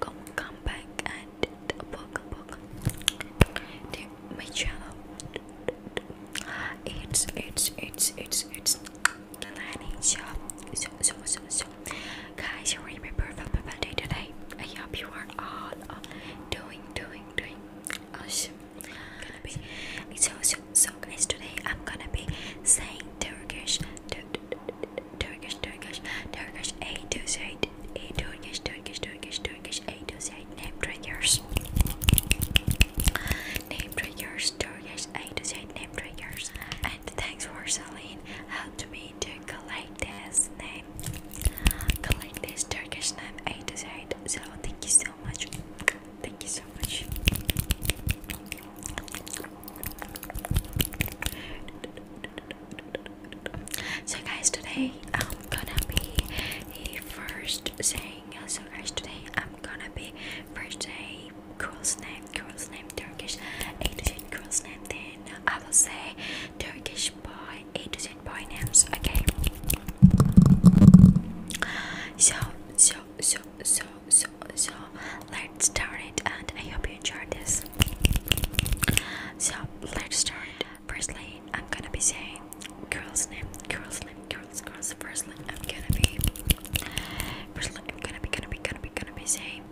come, come back and welcome, welcome to my channel. It's it's it's it's it's the landing shop. So so so so, guys, you remember Fabulous Day today? I hope you are all uh, doing doing doing awesome. Gonna be so so so guys. Today I'm gonna be saying Turkish. Dude, Turkish, Turkish, Turkish Eight to eight, eight. Turkish, Turkish, Turkish, Turkish Eight to eight. Name triggers, name triggers, Turkish Eight to eight. Name triggers. And thanks for Salim helped me to collect this name, collect this Turkish name Eight to eight. So thank you so much. Thank you so so much. So guys, today I'm gonna be first saying. So guys, today I'm gonna be first saying girl's name, girl's name Turkish, A to Z girl's name. Then I will say Turkish boy, A to Z boy names. Okay. So so so so so so let's start it and I hope you enjoyed this. So let's start. Firstly, I'm gonna be saying girls name, girls name, girls, girls. Firstly, I'm gonna be firstly I'm gonna be gonna be gonna be gonna be saying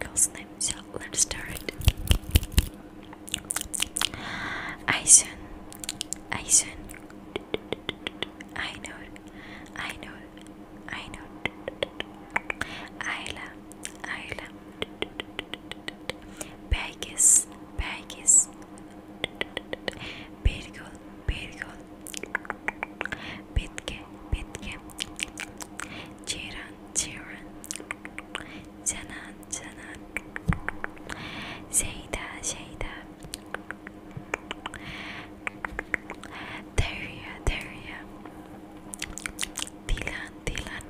girls name. So let's start. Aysun, Aysun. I know, I know, I know. Ayla, Ayla. Belgis, Belgis. Birgül, Birgül. Bitki, Bitki. Ceyran, Ceyran. Canan, Canan. Zeyda, Zeyda. Daria, Daria, Dylan, Dylan,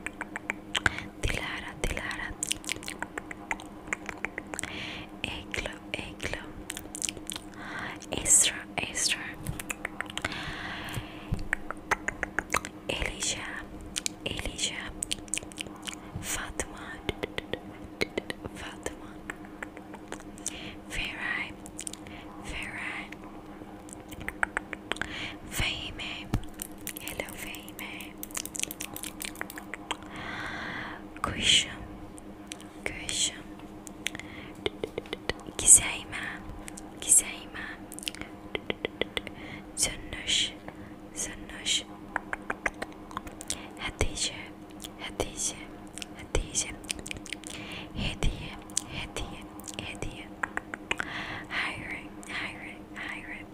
Dilara, Dilara, Eglo, Eglo, Estra, Estra, Elisha, Elisha, Fatima, Fatima. Ferrari, Ferrari, Fame, hello Fame, Kuşum, Kuşum, Gizeyma, Gizeyma, Zünnuş, Zünnuş, Hatice Hediye, hediye, hediye, hediye, hediye. Hayır, hayır, hayır.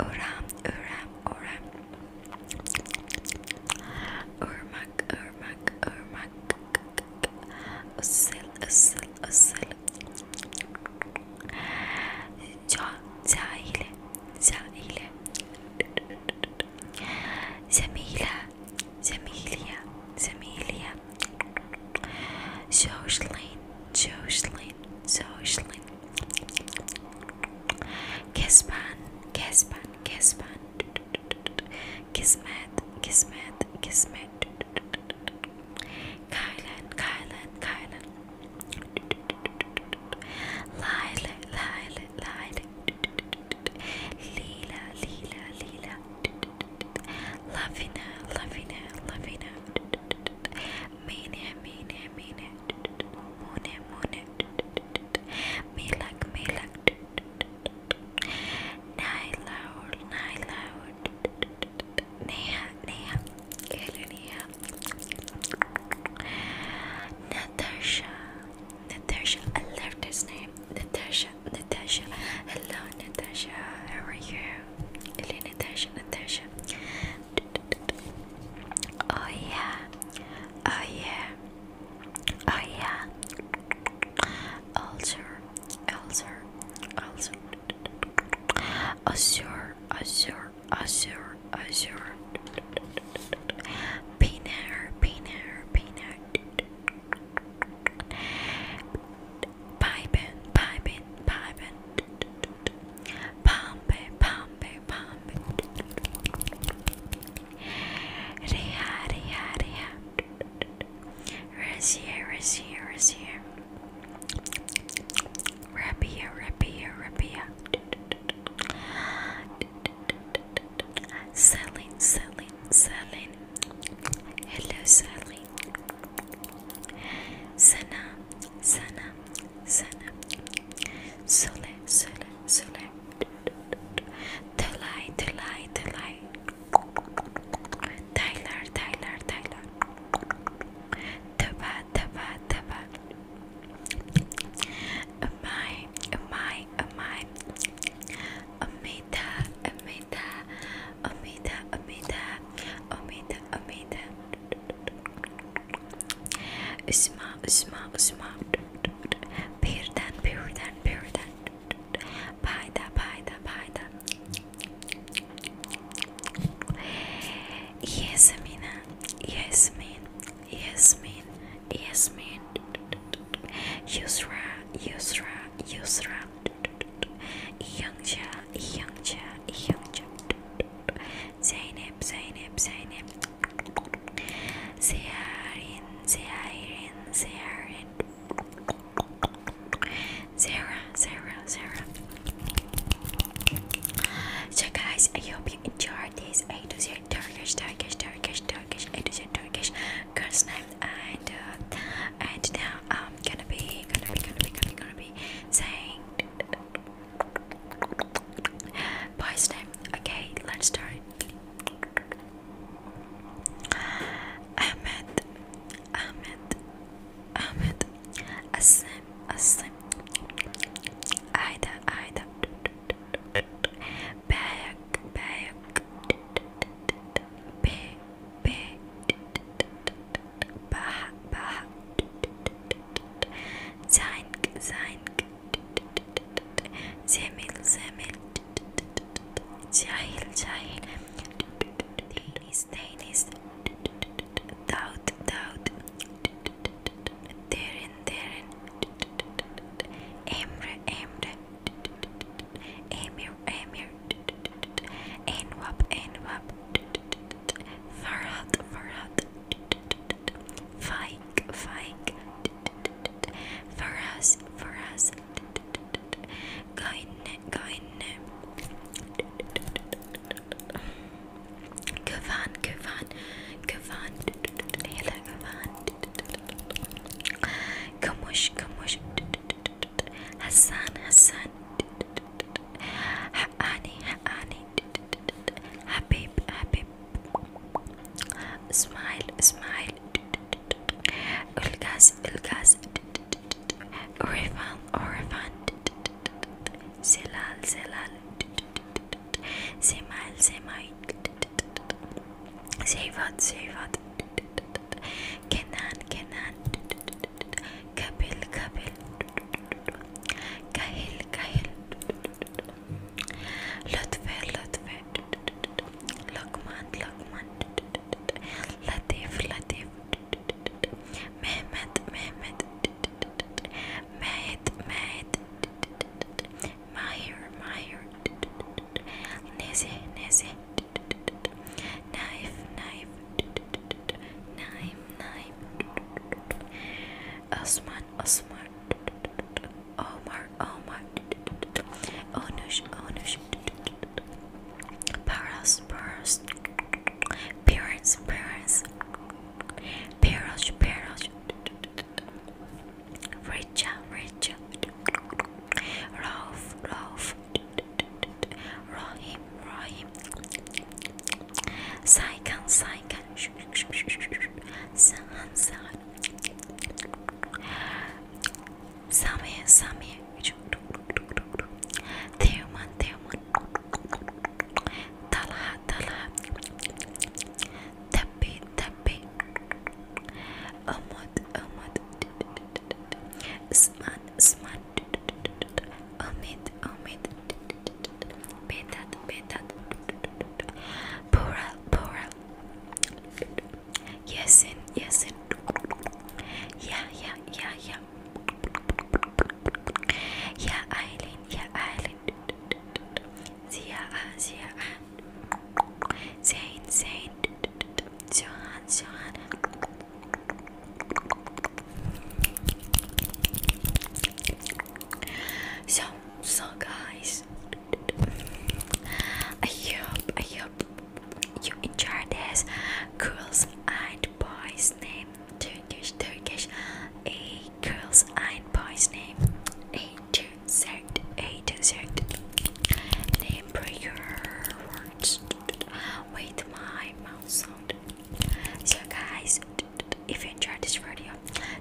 Uram, uram, uram. Irmak, ırmak, ırmak. Isıl, ısıl, ısıl. Ca, cahile, cahile. Cemile, جميلة جميلة جوشلين جوشلين جوشلين كسبان كسبان كسبان كسمات كسمات كسمات كايلان كايلان كايلان لايلة لايلة لايلة Leela, Leela, Leela. Lavina, Lavina, Lavina. Mene, Mene, Mene. Mune, Mune. Melak, Melak. Nylaur, Nylaur. Neha, Neha. Neha. Natasha, Natasha, I love this name. Natasha, Natasha. Hello, Natasha. How are you? Hello, Natasha, Natasha. Oh yeah. Oh yeah. Oh yeah. Ulcer, ulcer, ulcer. Azure, azure, azure, azure. Peanut, peanut, peanut. Pipen, pipen, pipen. Pampe, pampe, pampe. Rea, rea, rea. Resia, resia, resia. Rabia, rabia, rabia. Selling, selling, selling. Hello, selling. Sana, sana, sana. Sole, sole, sole. Tolai, tolai, tolai. Tyler, Tyler, Tyler. Taba, taba, taba. Am I, am I, am I? Omida, Omida, Omida, Omida, Omida, Omida. Usma, Usma, Usma. Birden, birden, birden. Payda, payda, payda. Yes, Amina. Yes, man. Yasmin, Yasmin, Yusra, Yusra, Yusra, Youngja, Youngja, Youngja, Zainab, Zainab, Zainab, Zarin, Zarin, Zarin, Zara, Zara, Zara. So guys, I hope you enjoyed this. I do Turkish, Turkish, Turkish, Turkish, I do Turkish girl's name and uh, and now I'm gonna be gonna be gonna be gonna be saying boy's name. Okay, let's start. Ahmed, Ahmed, Ahmed, Asim, Asim, Aida, Aida back, back, back, back, back, back, زينك زينك زميل زميل جاهل جاهل دينيس دينيس داود داود ديرن ديرن امر امر Amir, Amir, Anwab, Anwab, Farhat, Farhat, Faik, Faik, Faraz, Faraz, Gain, Gain, Gavan, Gavan, Gavan, Hela Gavan. كموش كموش حسان حسان حقاني حقاني حبيب حبيب اسماعيل اسماعيل الغاز الغاز ريفان ريفان زلال زلال زمال زمال Seyvan Seyvan Kenan Kenan Kabil Kabil Kahil Kahil Lutfe Lutfe Lokman Lokman Latif Latif Mehmet Mehmet Mehmet Mehmet Meyer, Meyer, Nese, Nese, Knife, Knife, Knife, Knife, Osman, Osman, Omar, Omar, Onush, Onush, Paras, Paras, Parents, Parents, Parents, Parents. Richard, Richard, Rolf, Rolf, Rohim, Rohim, Saikan, Saikan, Sahan, Sahan, Samir, Samir, Therman, Therman, Talha, Talha, Tapi, Tapi. حبي أمد أمد اسمن اسمن أمد أمد بيتات بيتات بورال بورال ياسين ياسين يا يا يا يا يا أيلين يا أيلين زياء زياء Zain, Zain, Johan, Johan. So, so guys, I hope, I hope you enjoy this. Girls and boys name Turkish, Turkish, a girls and boys name. A to Z, A to Z. Name your words with my mouth sound. So, guys, if you enjoyed this video,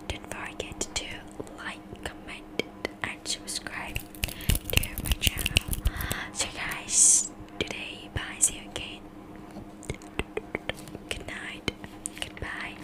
don't forget to like, comment, and subscribe to my channel. So, guys, today, bye. See you again. Good night. Goodbye.